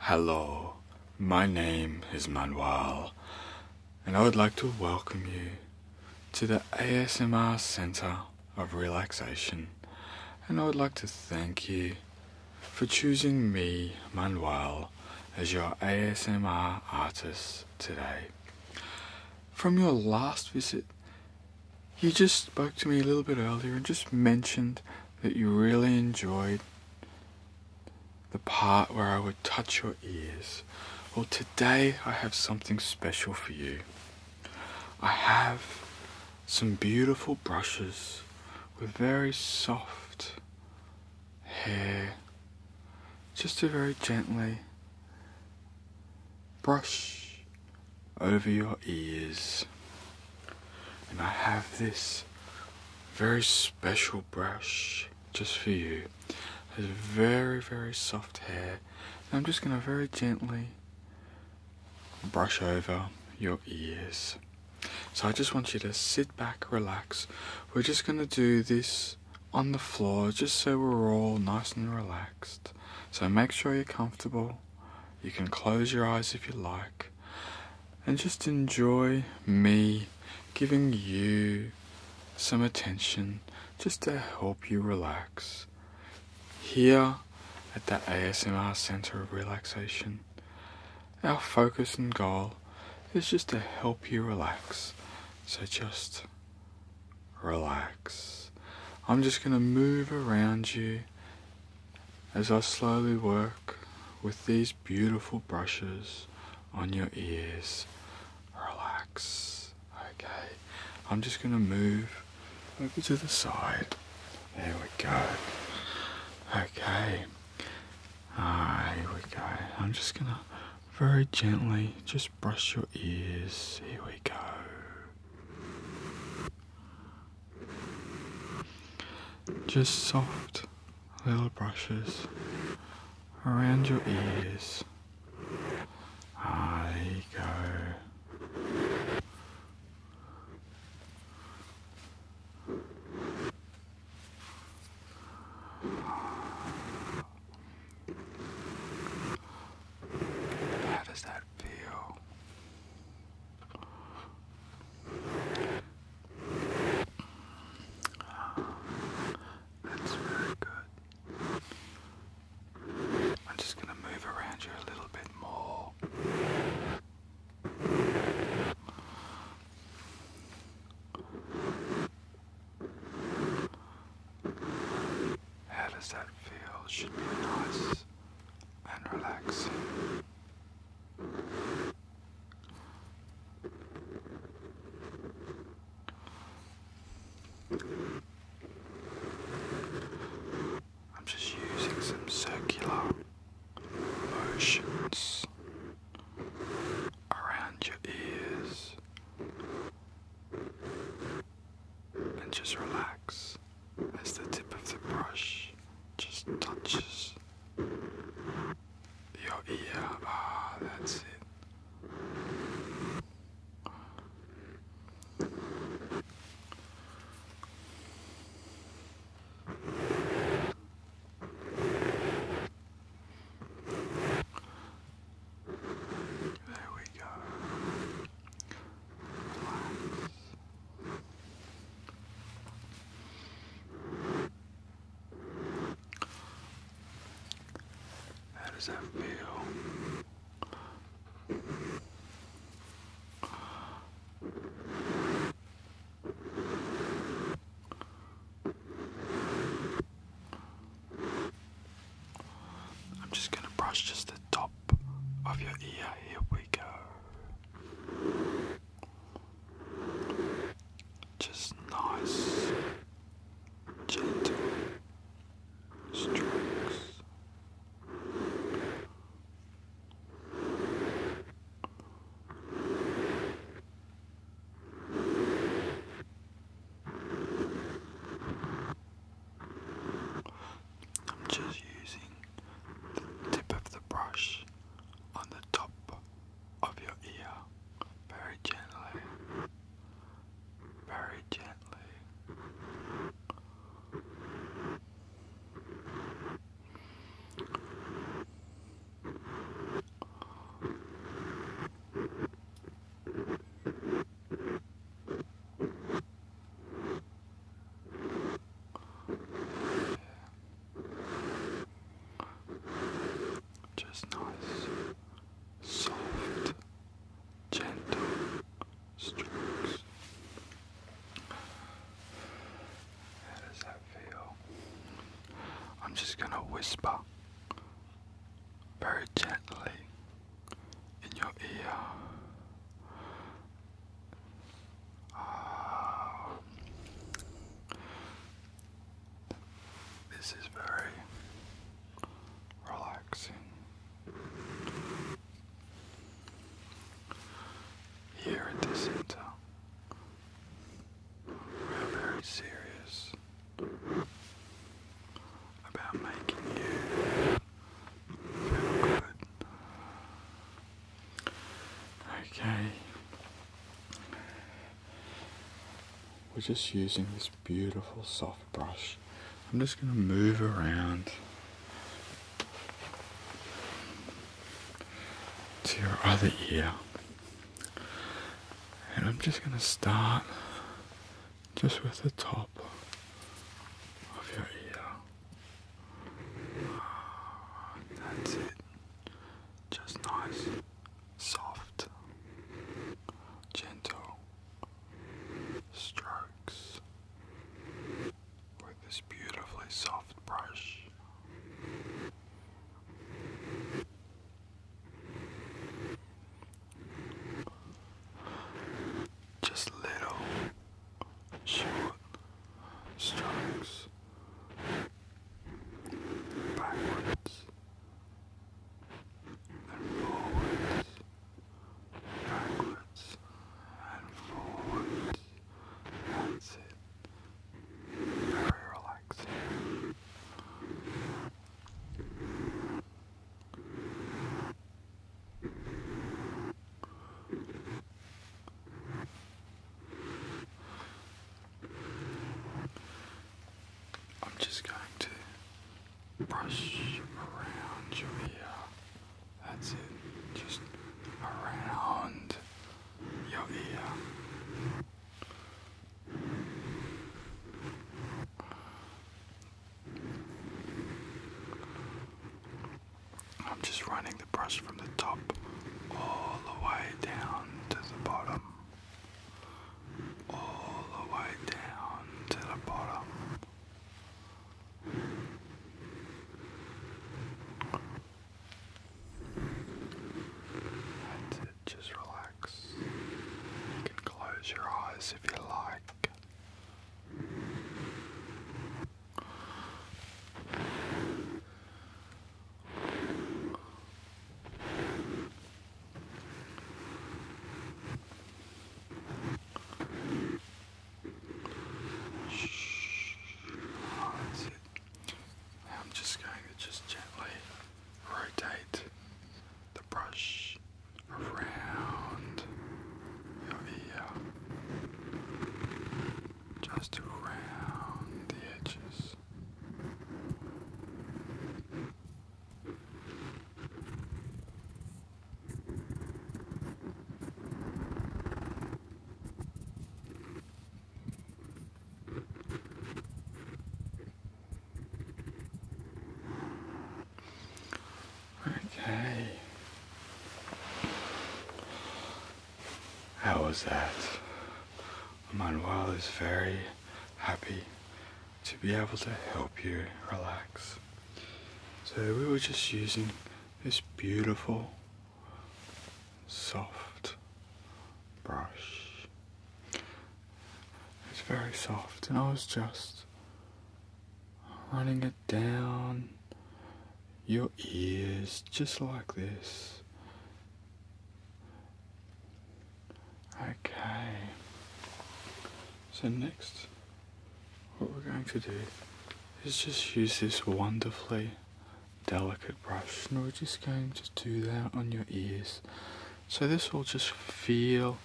Hello, my name is Manuel, and I would like to welcome you to the ASMR Center of Relaxation. And I would like to thank you for choosing me, Manuel, as your ASMR artist today. From your last visit, you just spoke to me a little bit earlier and just mentioned that you really enjoyed the part where I would touch your ears. Well, today I have something special for you. I have some beautiful brushes with very soft hair, just to very gently brush over your ears. And I have this very special brush just for you. It has very, very soft hair. And I'm just going to very gently brush over your ears. So I just want you to sit back, relax. We're just going to do this on the floor just so we're all nice and relaxed. So make sure you're comfortable. You can close your eyes if you like and just enjoy me giving you some attention just to help you relax here at the ASMR Center of Relaxation. Our focus and goal is just to help you relax. So just relax. I'm just going to move around you as I slowly work with these beautiful brushes on your ears. Relax. Okay. I'm just going to move over to the side. There we go. Okay. here we go. I'm just going to very gently just brush your ears. Here we go. Just soft little brushes around your ears. Ah, go. How does that feel? That's very good. I'm just going to move around you a little bit more. How does that feel? Should be nice and relaxing. I'm just using some circular motions around your ears and just relax as the tip of the brush just touches your ear. Ah, that's it. There we go. How does that feel? I'm just going to brush just the top of your ear. Here we go. Just nice, gentle strokes. I'm just using the tip of the brush on the top of your ear very gently, very gently. Just nice, soft, gentle strokes. How does that feel? I'm just gonna whisper very gently in your ear Ah. this is very relaxing. Here at the center, we're very serious about making you feel good. Okay. We're just using this beautiful soft brush. I'm just going to move around to your other ear. And I'm just going to start just with the top of your ear. That's it. Just nice, soft, gentle strokes with this beautifully soft brush. Just little shoot, strikes, backwards, and forwards, backwards, and forwards. That's it. Very relaxing. I'm just going to brush around your ear. That's it. Just around your ear. I'm just running the brush from the top all the way down to the bottom. All the way down to the bottom. That's it, just relax. You can close your eyes if you like. Shh. Oh, I'm just going to just gently rotate the brush around over here, just around the edges. Okay. How was that? Manuel is very happy to be able to help you relax. So we were just using this beautiful, soft brush. It's very soft and I was just running it down your ears just like this. Okay, so next, what we're going to do is just use this wonderfully delicate brush, and we're just going to do that on your ears. So this will just feel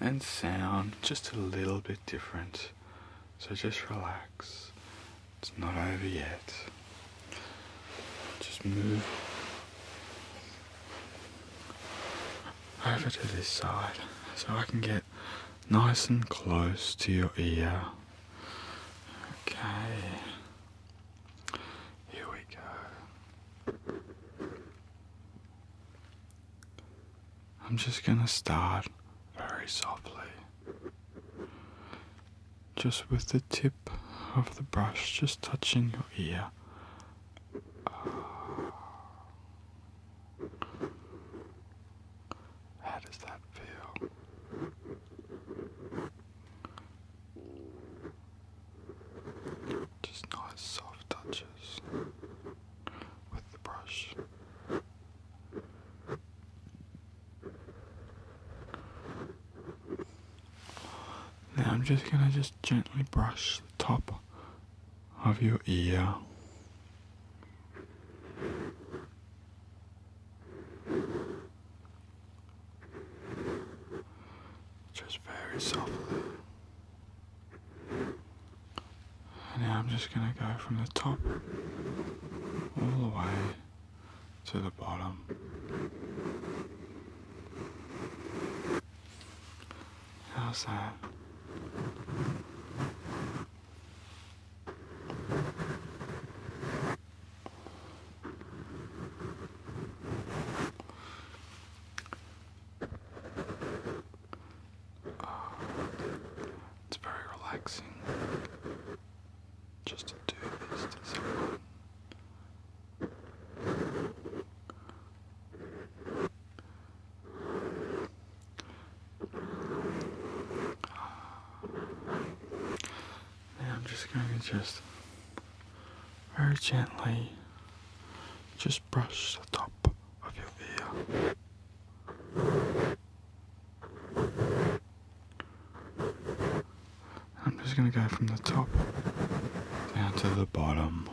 and sound just a little bit different. So just relax. It's not over yet. Just move over to this side so I can get nice and close to your ear. Okay. Here we go. I'm just going to start very softly. Just with the tip of the brush, just touching your ear. How does that feel? Just nice soft touches with the brush. Now I'm just gonna just gently brush the top of your ear. Just very softly. Now I'm just going to go from the top all the way to the bottom. How's that? it's very relaxing just to do this I'm just going to just very gently just brush the top of your ear. I'm just going to go from the top down to the bottom.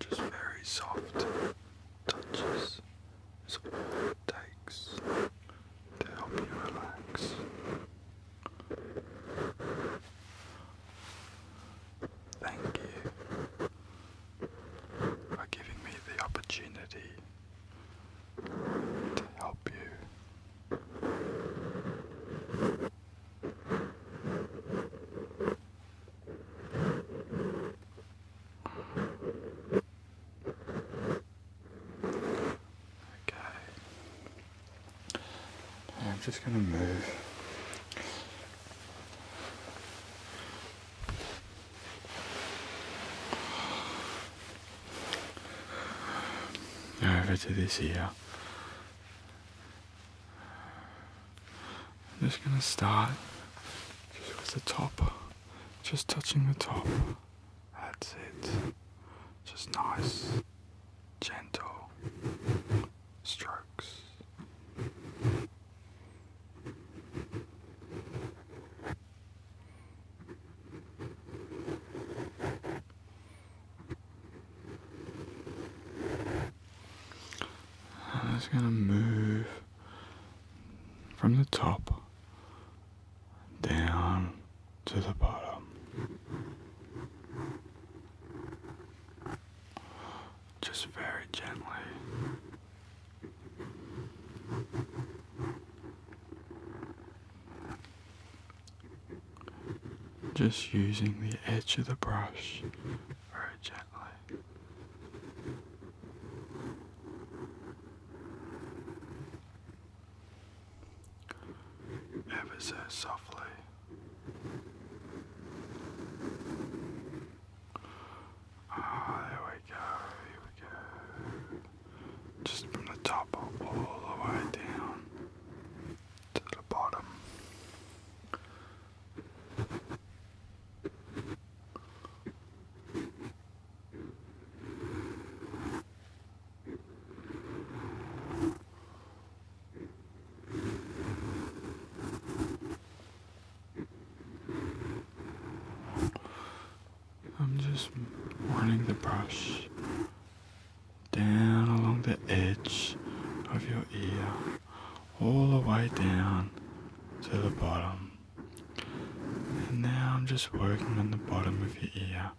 Just very soft touches, it takes to help you relax. Thank you for giving me the opportunity to help you. Okay. I'm just going to move. Over to this here. I'm just going to start with the top. Just touching the top. That's it. Just nice, gentle strokes. I'm just going to move from the top down to the bottom. Just very gently. Just using the edge of the brush very gently. Ever so softly. Ah, there we go, here we go. Just from the top all the way down to the bottom. I'm just running the brush down along the edge of your ear all the way down to the bottom. And now I'm just working on the bottom of your ear.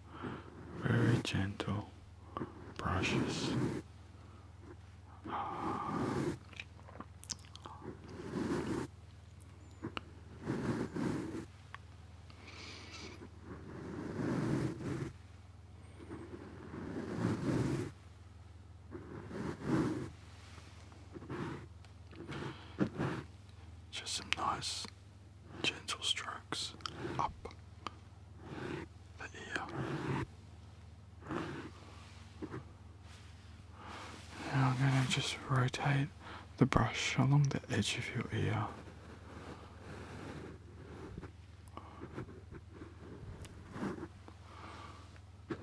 Very gentle brushes. Just some nice, gentle strokes up the ear. Now I'm going to just rotate the brush along the edge of your ear. Okay.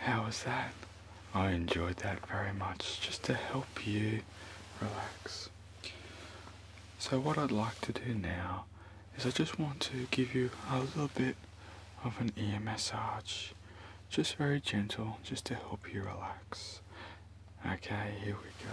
How was that? I enjoyed that very much, just to help you relax. So what I'd like to do now is I just want to give you a little bit of an ear massage just very gentle, just to help you relax. Okay, here we go.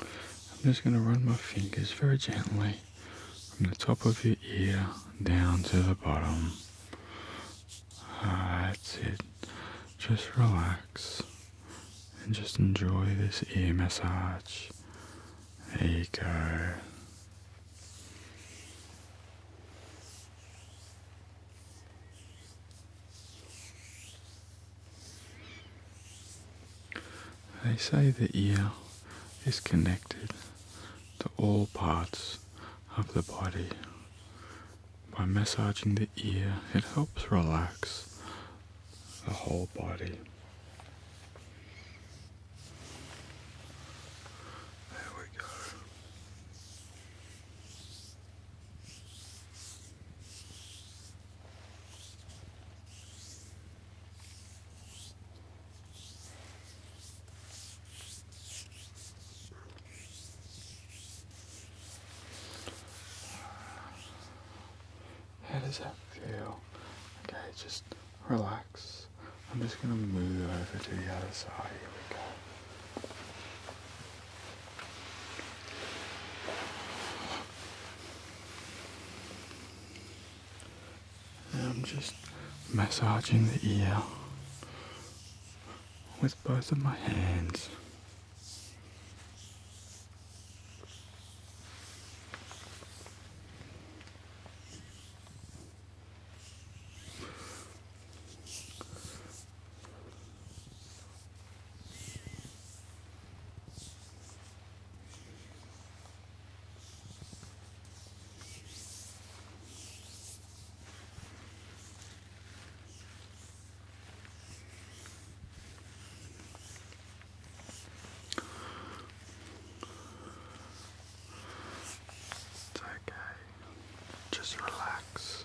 I'm just going to run my fingers very gently from the top of your ear down to the bottom. Ah, that's it. Just relax and just enjoy this ear massage. There you go. They say the ear is connected to all parts of the body. By massaging the ear, it helps relax the whole body. There we go. How does that feel? Okay, just relax. I'm just going to move over to the other side. Here we go. I'm just massaging the ear with both of my hands. It's okay. Just relax.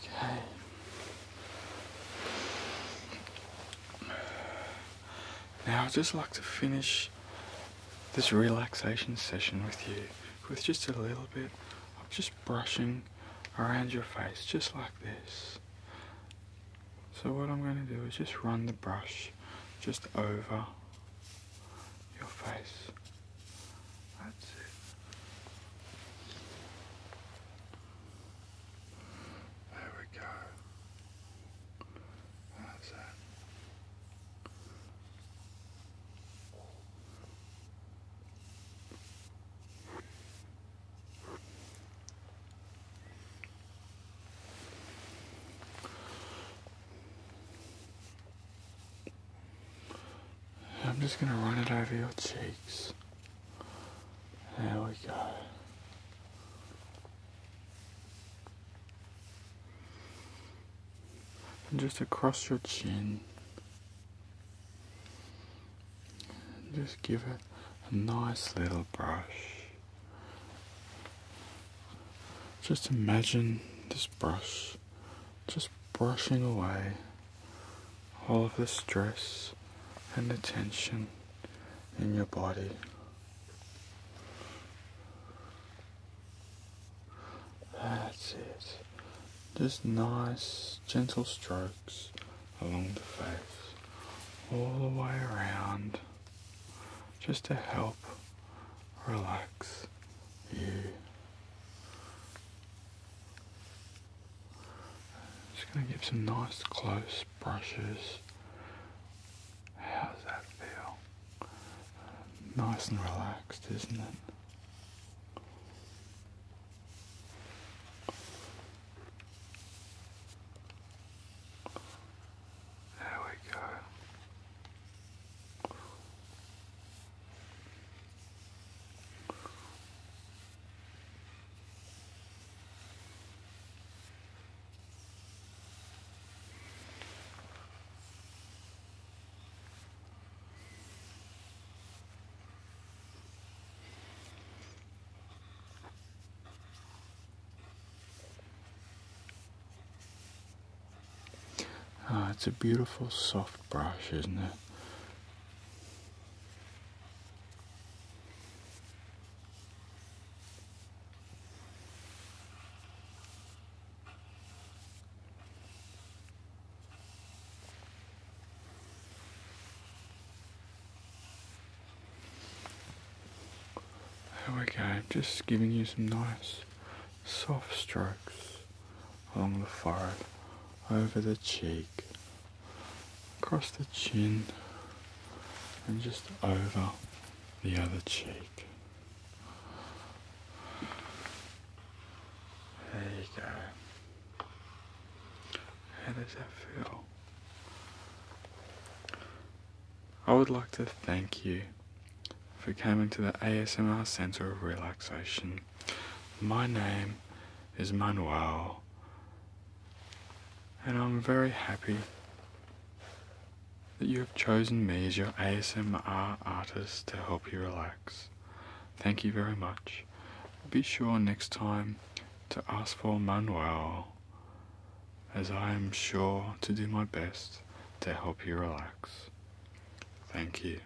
Okay. Now i just like to finish this relaxation session with you with just a little bit of just brushing around your face just like this. So what I'm going to do is just run the brush just over your face that's it. There we go. That's it. I'm just going to run it over your cheeks. There we go. just across your chin. just give it a nice little brush. Just imagine this brush just brushing away all of the stress and the tension in your body. That's it. Just nice, gentle strokes along the face, all the way around, just to help relax you. Just going to give some nice close brushes. How does that feel? Nice and relaxed, isn't it? Oh, it's a beautiful soft brush, isn't it? There we go, just giving you some nice soft strokes along the forehead, over the cheek, across the chin, and just over the other cheek. There you go. How does that feel? I would like to thank you for coming to the ASMR Center of Relaxation my name is Manuel, and I'm very happy that you have chosen me as your ASMR artist to help you relax. Thank you very much. Be sure next time to ask for Manuel, as I am sure to do my best to help you relax. Thank you.